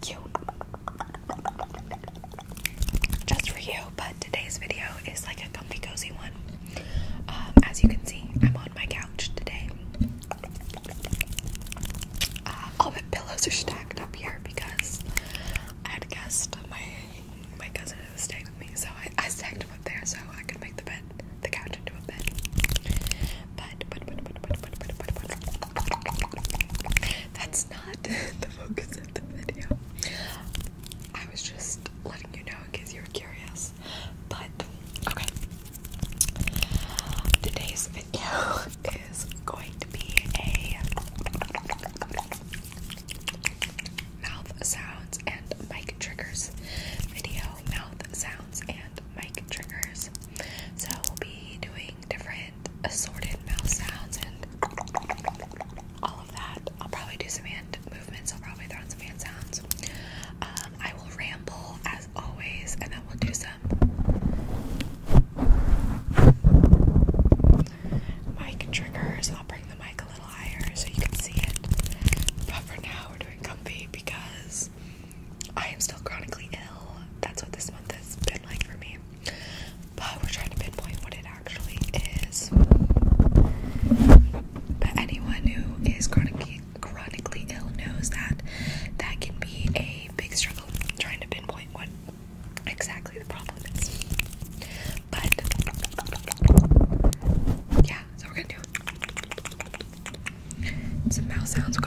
cute. Just for you, but today's video is like a comfy cozy one. as you can see, I'm on my couch today. all the pillows are stacked up here because I had a guest. My my cousin was staying with me, so I, I stacked them up there so I could make the bed, the couch into a bed. but that's not the focus of the video. I was just letting you know in case you were curious. But okay, today's video is going to be a mouth sounds and mic triggers video. Mouth sounds and mic triggers. So we'll be doing different assorted mouth sounds and all of that. I'll probably do some hand movements. I'll probably throw in some hand sounds. Um, I will ramble as always, and then we'll do some mic triggers. I'll bring the mic a little higher so you can see it. But for now, we're doing comfy because I am still chronically ill. That's what this month has like for me. But we're trying to pinpoint what it actually is. But anyone who is chronically chronically ill knows that that can be a big struggle trying to pinpoint what exactly the problem is. But yeah, so we're gonna do some mouth sounds.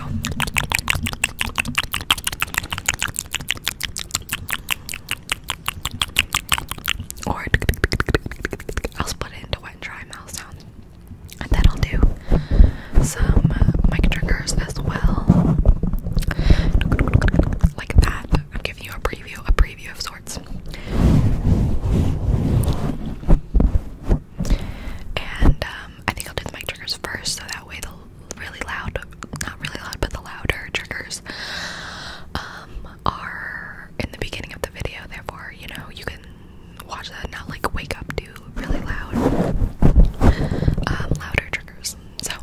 Or I'll split it into wet and dry mouth sounds. And then I'll do some uh, mic triggers as well. Like that. I'm giving you a preview, a preview of sorts. And um, I think I'll do the mic triggers first so that way the really loud, not really loud, but the louder triggers um, are in the beginning of the video. Therefore, you know, you can watch that not like wake up to really loud, um, louder triggers. So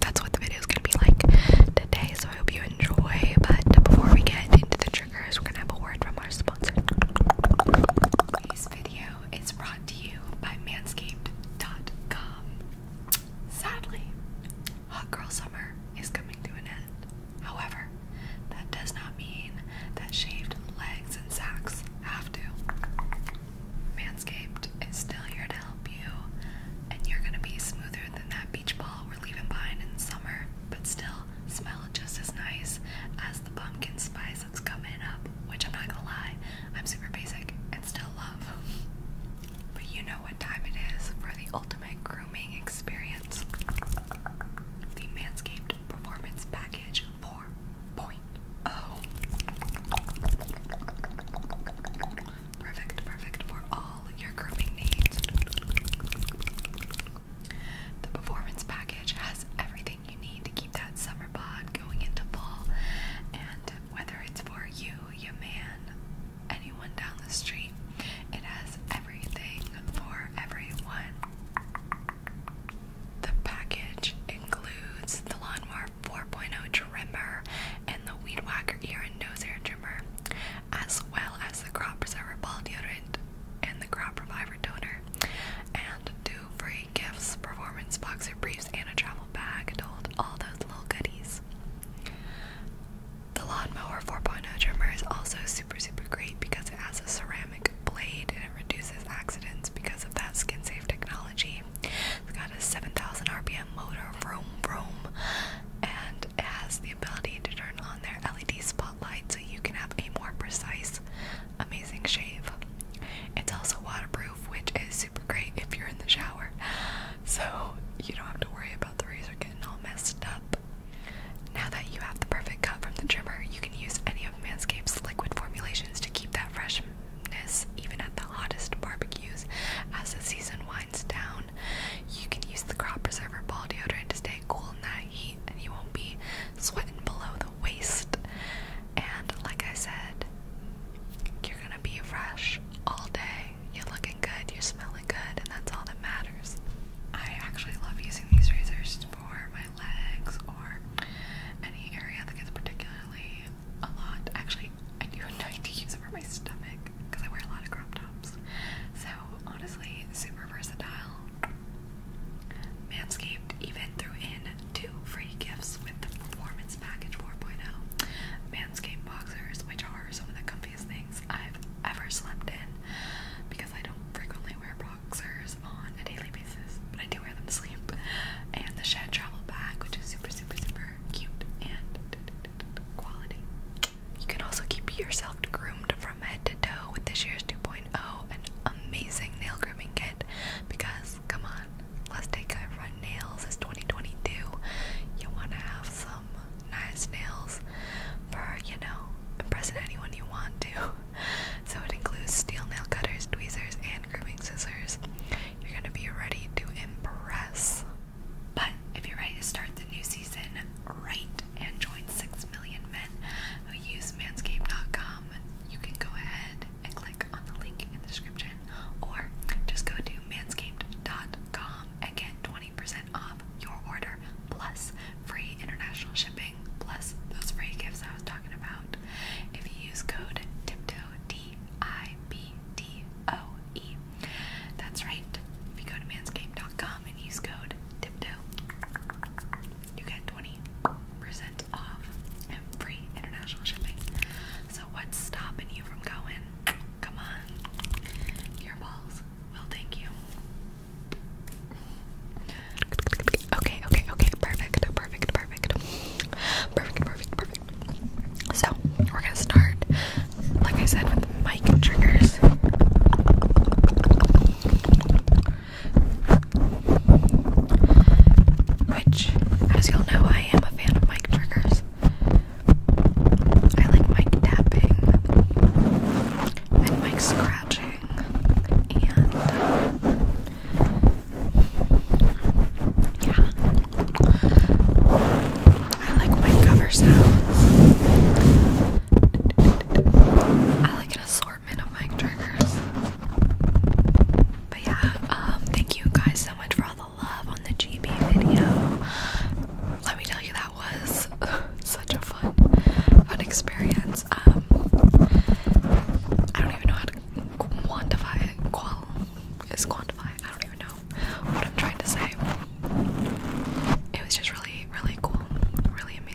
that's what the video is going to be like today. So I hope you enjoy. But before we get into the triggers, we're going to have a word from our sponsor. It's brought to you by manscaped.com. Sadly, Hot Girl Summer is coming to an end. However, that does not mean that shaved legs and sacks have to. Manscaped is still here to help you, and you're gonna be smoother than that beach ball we're leaving behind in summer, but still smell just as nice as the pumpkin spice basics coming up, which I'm not gonna lie, I'm super basic and still love. But you know what time it is for the ultimate grooming experience the Manscaped Performance Package 4.0. Perfect, perfect for all your grooming needs. The Performance Package has everything you need to keep that summer bod going into fall. And whether it's for you, your man, anyone down the street, it has everything for everyone. The package includes the Lawnmower 4.0 trimmer and the Weed Whacker ear and nose hair trimmer, as well as the Crop Preserver Ball Deodorant and the Crop Reviver Donor, And to free gifts, performance boxer briefs, and a travel bag to hold all those little goodies. The Lawnmower 4.0 trimmer is also super, super great because it has a ceramic blade and it reduces accidents because of that skin safe technology. It's got a 7,000 RPM motor, vroom, vroom, and it has the ability to turn on their LED spotlight so you can have a more precise amazing shave. It's also waterproof, which is super great if you're in the shower, so you don't have to worry about the razor getting all messed up. Now that you have the perfect cut from the trimmer, you can use any of Manscaped's liquid formulations to keep that freshness even at the hottest barbecues. As the season winds down, you can use the Crop Preserver Ball Deodorant to stay cool in that heat, and you won't be sweating below the waist. And like I said, you're gonna be fresh all day. You're looking good, you're smelling good, and that's all that matters. I actually love using these razors for my legs or any area that gets particularly a lot. Actually, I do enjoy to use it for my stomach because I wear a lot of crop tops. So honestly, super versatile. Manscaped even threw in two free gifts with the Performance Package 4.0 Manscaped boxers, which are some of the comfiest things I've ever slept in because I don't frequently wear boxers on a daily basis, but I do wear them to sleep. And the Shed Travel Bag, which is super, super, super cute and quality. You can also keep yourself groomed from head to toe with this year's 2.0 and amazing nail grooming kit because Come on, let's take care of nails. It's 2022. You want to have some nice nails for, you know, impressing anyone you want to. So it includes steel nail cutters, tweezers, and grooming scissors. You're going to be ready to impress. But if you're ready to start the new season right and join 6 million men who use manscaped.com you can go ahead and click on the link in the description or just go to manscaped.com and get 20% off your order plus free international shipping plus those free gifts I was talking about. If you use code TIPTOE, D I B T O E. That's right. If you go to manscaped.com and use code TIPTOE, you get 20% off and free international shipping. So what's stopping you from going? Come on. Your balls will thank you. Okay, okay, okay. Perfect, perfect, perfect. Perfect, perfect, So, we're gonna start, like I said, with mic triggers. Which, as y'all know, I am a fan of mic triggers. I like mic tapping and mic scratching and yeah. I like mic covers now. I like an assortment um, thank you guys so much for all the love on the GB video. Let me tell you, that was such a fun, fun experience. Um, I don't even know how to quantify Qual is quantify. I don't even know what I'm trying to say. It was just really, really cool, really amazing.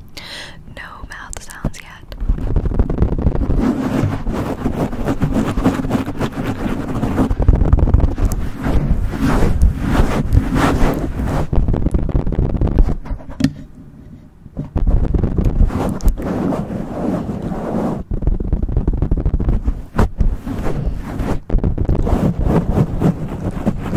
No mouth sounds yet.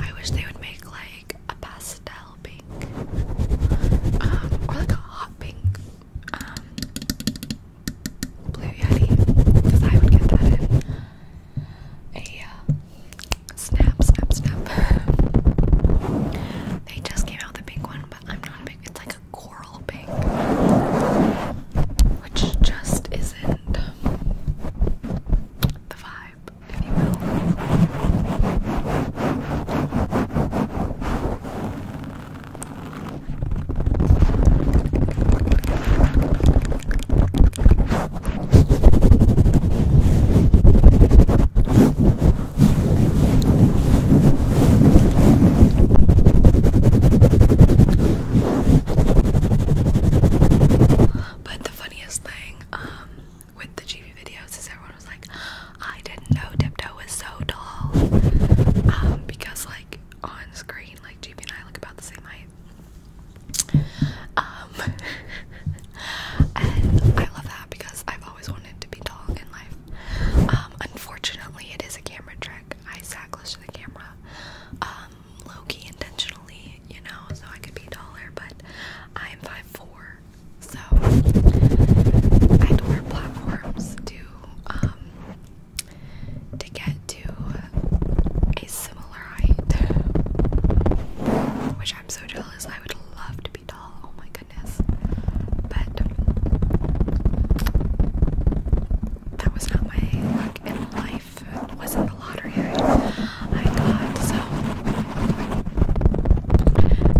I wish they would make like a pastel pink, um, or like a hot pink, um, blue yeti, because I would get that in a uh, snap, snap, snap. they just came out with pink one, but I'm not a big. It's like a coral pink, which just is is the vibe, if you will. But the funniest thing um, with the GB videos is everyone was like, I didn't know Dipto was so tall. Um, because, like, on screen, like, GB and I look about the same height. Um, and I love that because I've always wanted to be tall in life. unfortunately, it is a camera trick. I sat close to the camera low intentionally, you know, so I could be taller, but I am five four, so I had to wear platforms to, um, to get to a similar height, which I'm so jealous, I would love to be tall, oh my goodness, but that was not my luck in life. It wasn't the lottery I thought so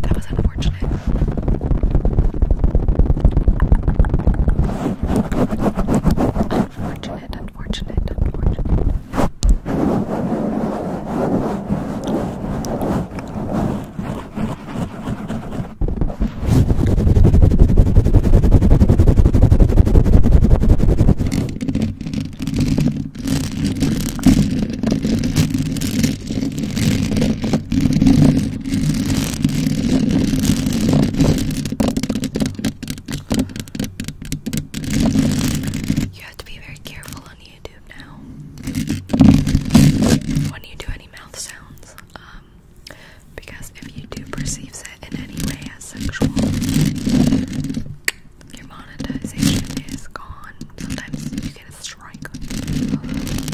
that was unfortunate. Unfortunate, unfortunate, unfortunate. You have to be very careful on YouTube now when you do any mouth sounds. Um, because if you do perceive it in any way as sexual, your monetization is gone. Sometimes you get a strike.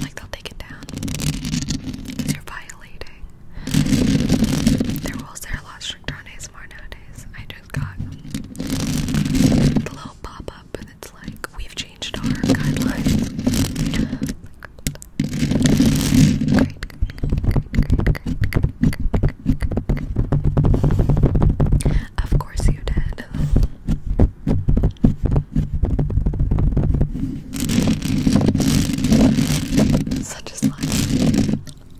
Like they'll take it down. you're violating. Their rules a lot stricter on ASMR nowadays. I just got the little pop up and it's like, we've changed our guidelines. Of course you did. Such is Um,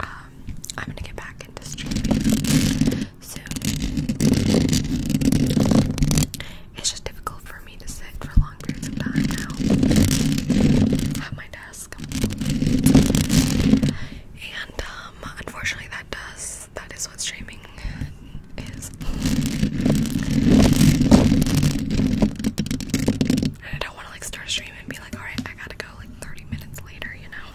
I'm gonna get back into streaming soon. It's just difficult for me to sit for long periods of time now. Have my dad and um, unfortunately, that does that is what streaming is. And I don't want to like start a stream and be like, all right, I gotta go like 30 minutes later, you know.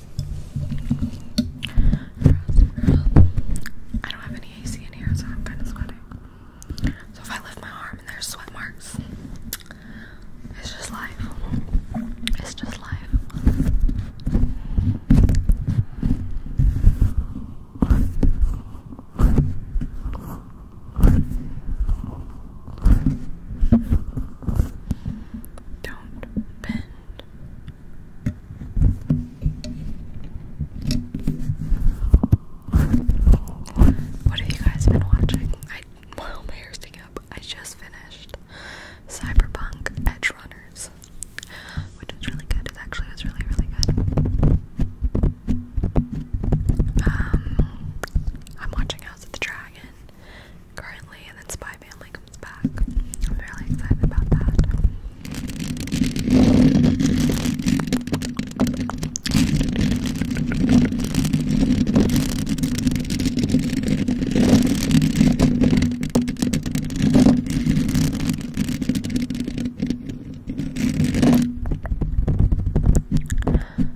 I don't have any AC in here, so I'm kind of sweating. So if I lift my arm and there's sweat marks, it's just life. It's just life. Don't bend. What have you guys been watching? I my hair's sticking up, I just finished Cyberpunk Edge Runners, which is really good. It actually was really, really good. Um, I'm watching House of the Dragon currently, and then Spy Family comes back. I'm really excited about that.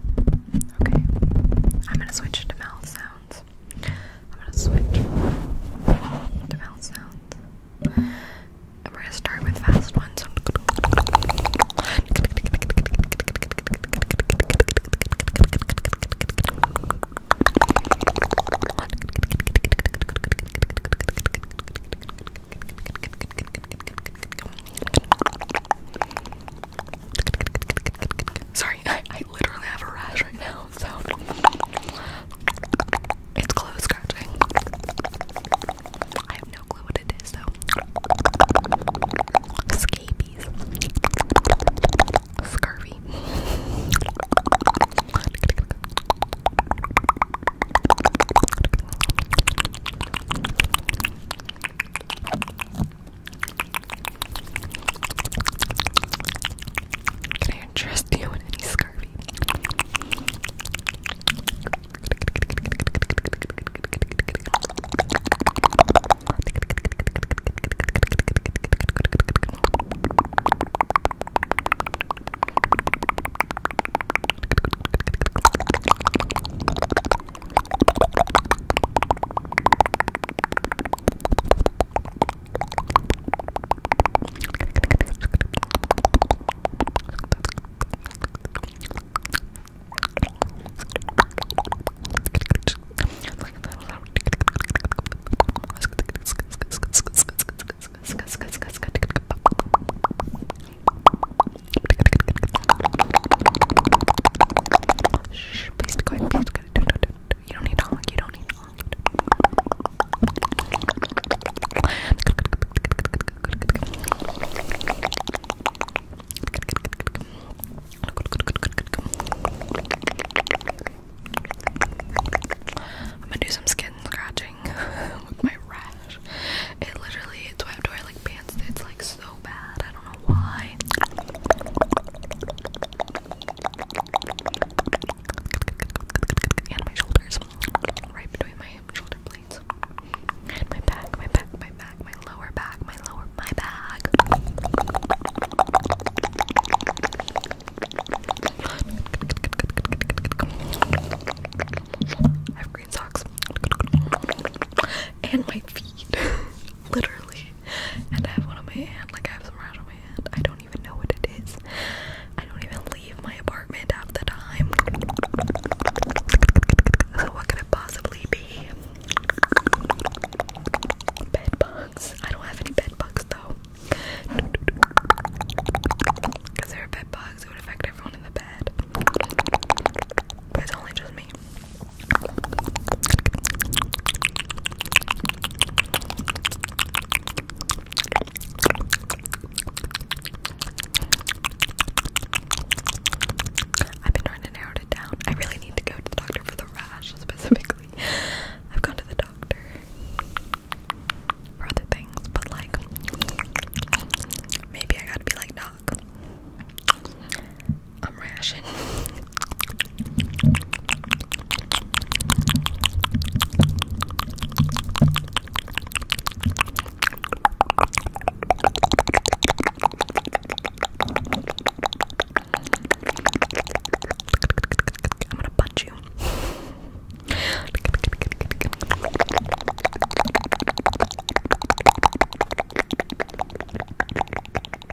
Okay. I'm gonna switch to mouth sounds. I'm gonna switch to mouth sounds. And we gonna start with fast ones. Sorry, I, I literally have a rash right now, so it's close scratching. I have no clue what it is though. Scabies. Scurvy. Can I interest you in any scurvy? Shh, please be quiet, please be quiet. You don't need to You don't need to I'm gonna do some skin scratching with my rash. It literally, its why I have to wear like pants? It's like so bad. I don't know why and my shoulders, right between my shoulder blades, and my back, my back, my back, my lower back, my lower, my back. I have green socks, and my feet. literally. And I have one on my hand, like I have some rash on my hand. I don't even know what it is. I don't even leave my apartment half the time. So what could it possibly be? Bed bugs. I don't have any bed bugs though. Because there are bed bugs, it would affect everyone in the bed. But it's only just me. I've been trying to narrow it down. I really need to go to the doctor for the rash specifically. I've gone to the doctor for other things, but like maybe I gotta be like doc. I'm rashing. I'm gonna punch you.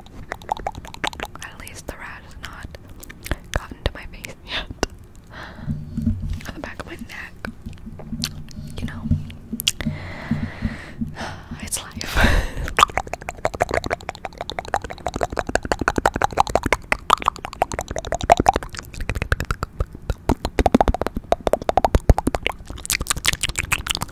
At least the rat not gotten to my face yet. On the back of my neck. You know. It's life.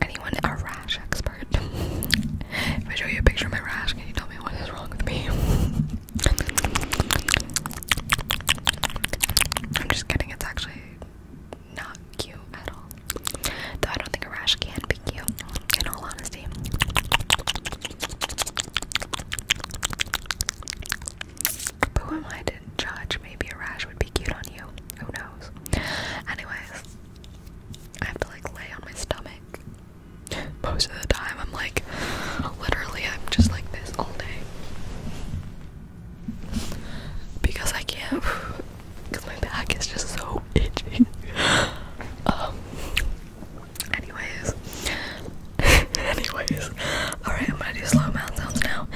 Anyone a rash expert? if I show you a picture of my rash, can you tell me what is wrong with me? I'm just kidding, it's actually not cute at all. Though I don't think a rash can be cute, in all honesty. But who am I to judge? Maybe a rash would be cute on you. Who knows? Anyways, I have to like lay on my stomach. Most of the time, I'm like, literally, I'm just like this all day because I can't because my back is just so itchy. Um anyways anyways alright I'm gonna do slow mouth sounds now.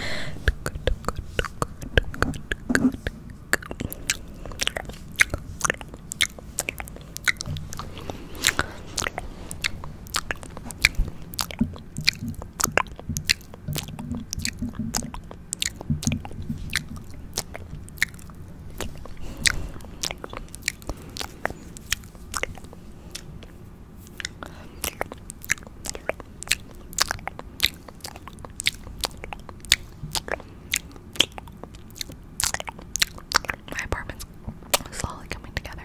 My apartment's slowly coming together.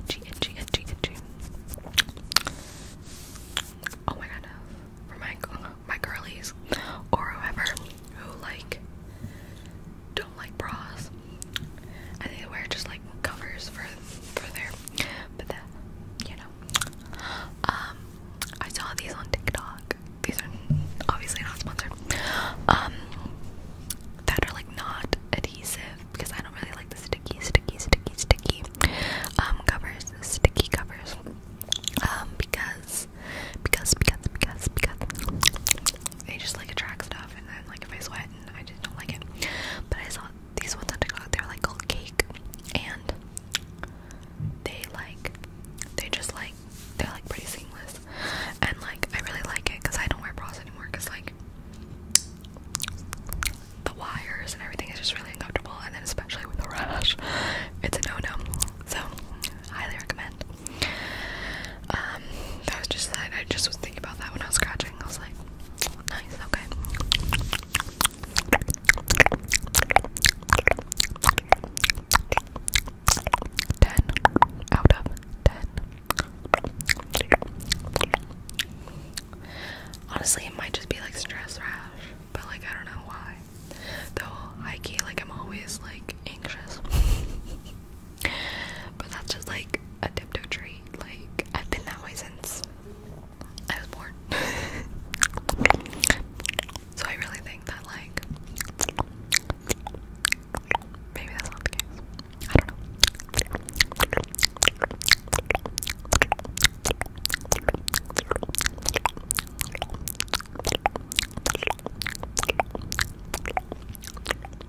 Itchy, itchy, itchy, Oh my god, for my my girlies or whoever who like don't like bras, I think they wear just like covers for for their but that you know. Um I saw these on TikTok. These are obviously not sponsored. Um that are like not adhesive because I don't really like the sticky, sticky, sticky, sticky um covers, sticky covers. Um because because because because because they just like attract stuff stuff and then like if I sweat and I just don't like it. But I saw these ones had to go out there like called cake and they like they just like they're like pretty seamless and like I really like it because I don't wear bras anymore because like the wires and everything is just really uncomfortable and then especially with a rash it's a no-no so highly recommend um, was just thinking about that when I was scratching. I was like, nice, okay. Ten out of ten. Honestly, it might just be like stress rash, but like I don't know why. Though, high key, like I'm always like anxious. But that's just like a tiptoe tree. Like, I've been that way since I was born. so I really think that, like, maybe that's not the case. I don't know.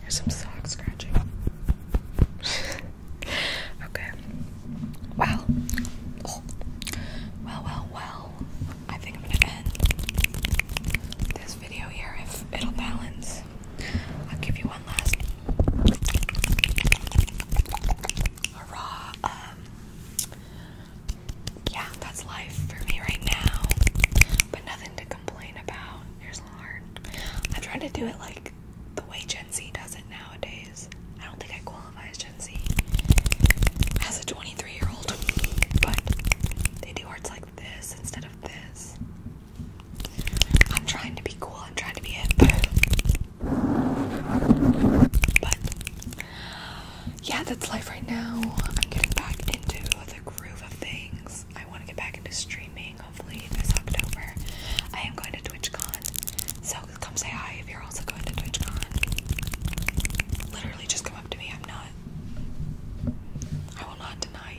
There's some sock scratching. okay. Well. Well, well, well. I think I'm gonna end this video here if it'll balance. I'll give you one last Hurrah! Um, yeah, that's life for me right now. But nothing to complain about. Here's hard. I try to do it like the way Gen Z does it nowadays. I don't think I qualify as Gen Z as a 23 year old, but they do arts like this instead of this. I'm trying to be cool, I'm trying to be it. But yeah, that's life right now. I'm getting back into the groove of things. I want to get back into streaming, hopefully this October. I am going to TwitchCon, so come say hi if you're also going to TwitchCon. Literally just come up to me, I'm not. I will not deny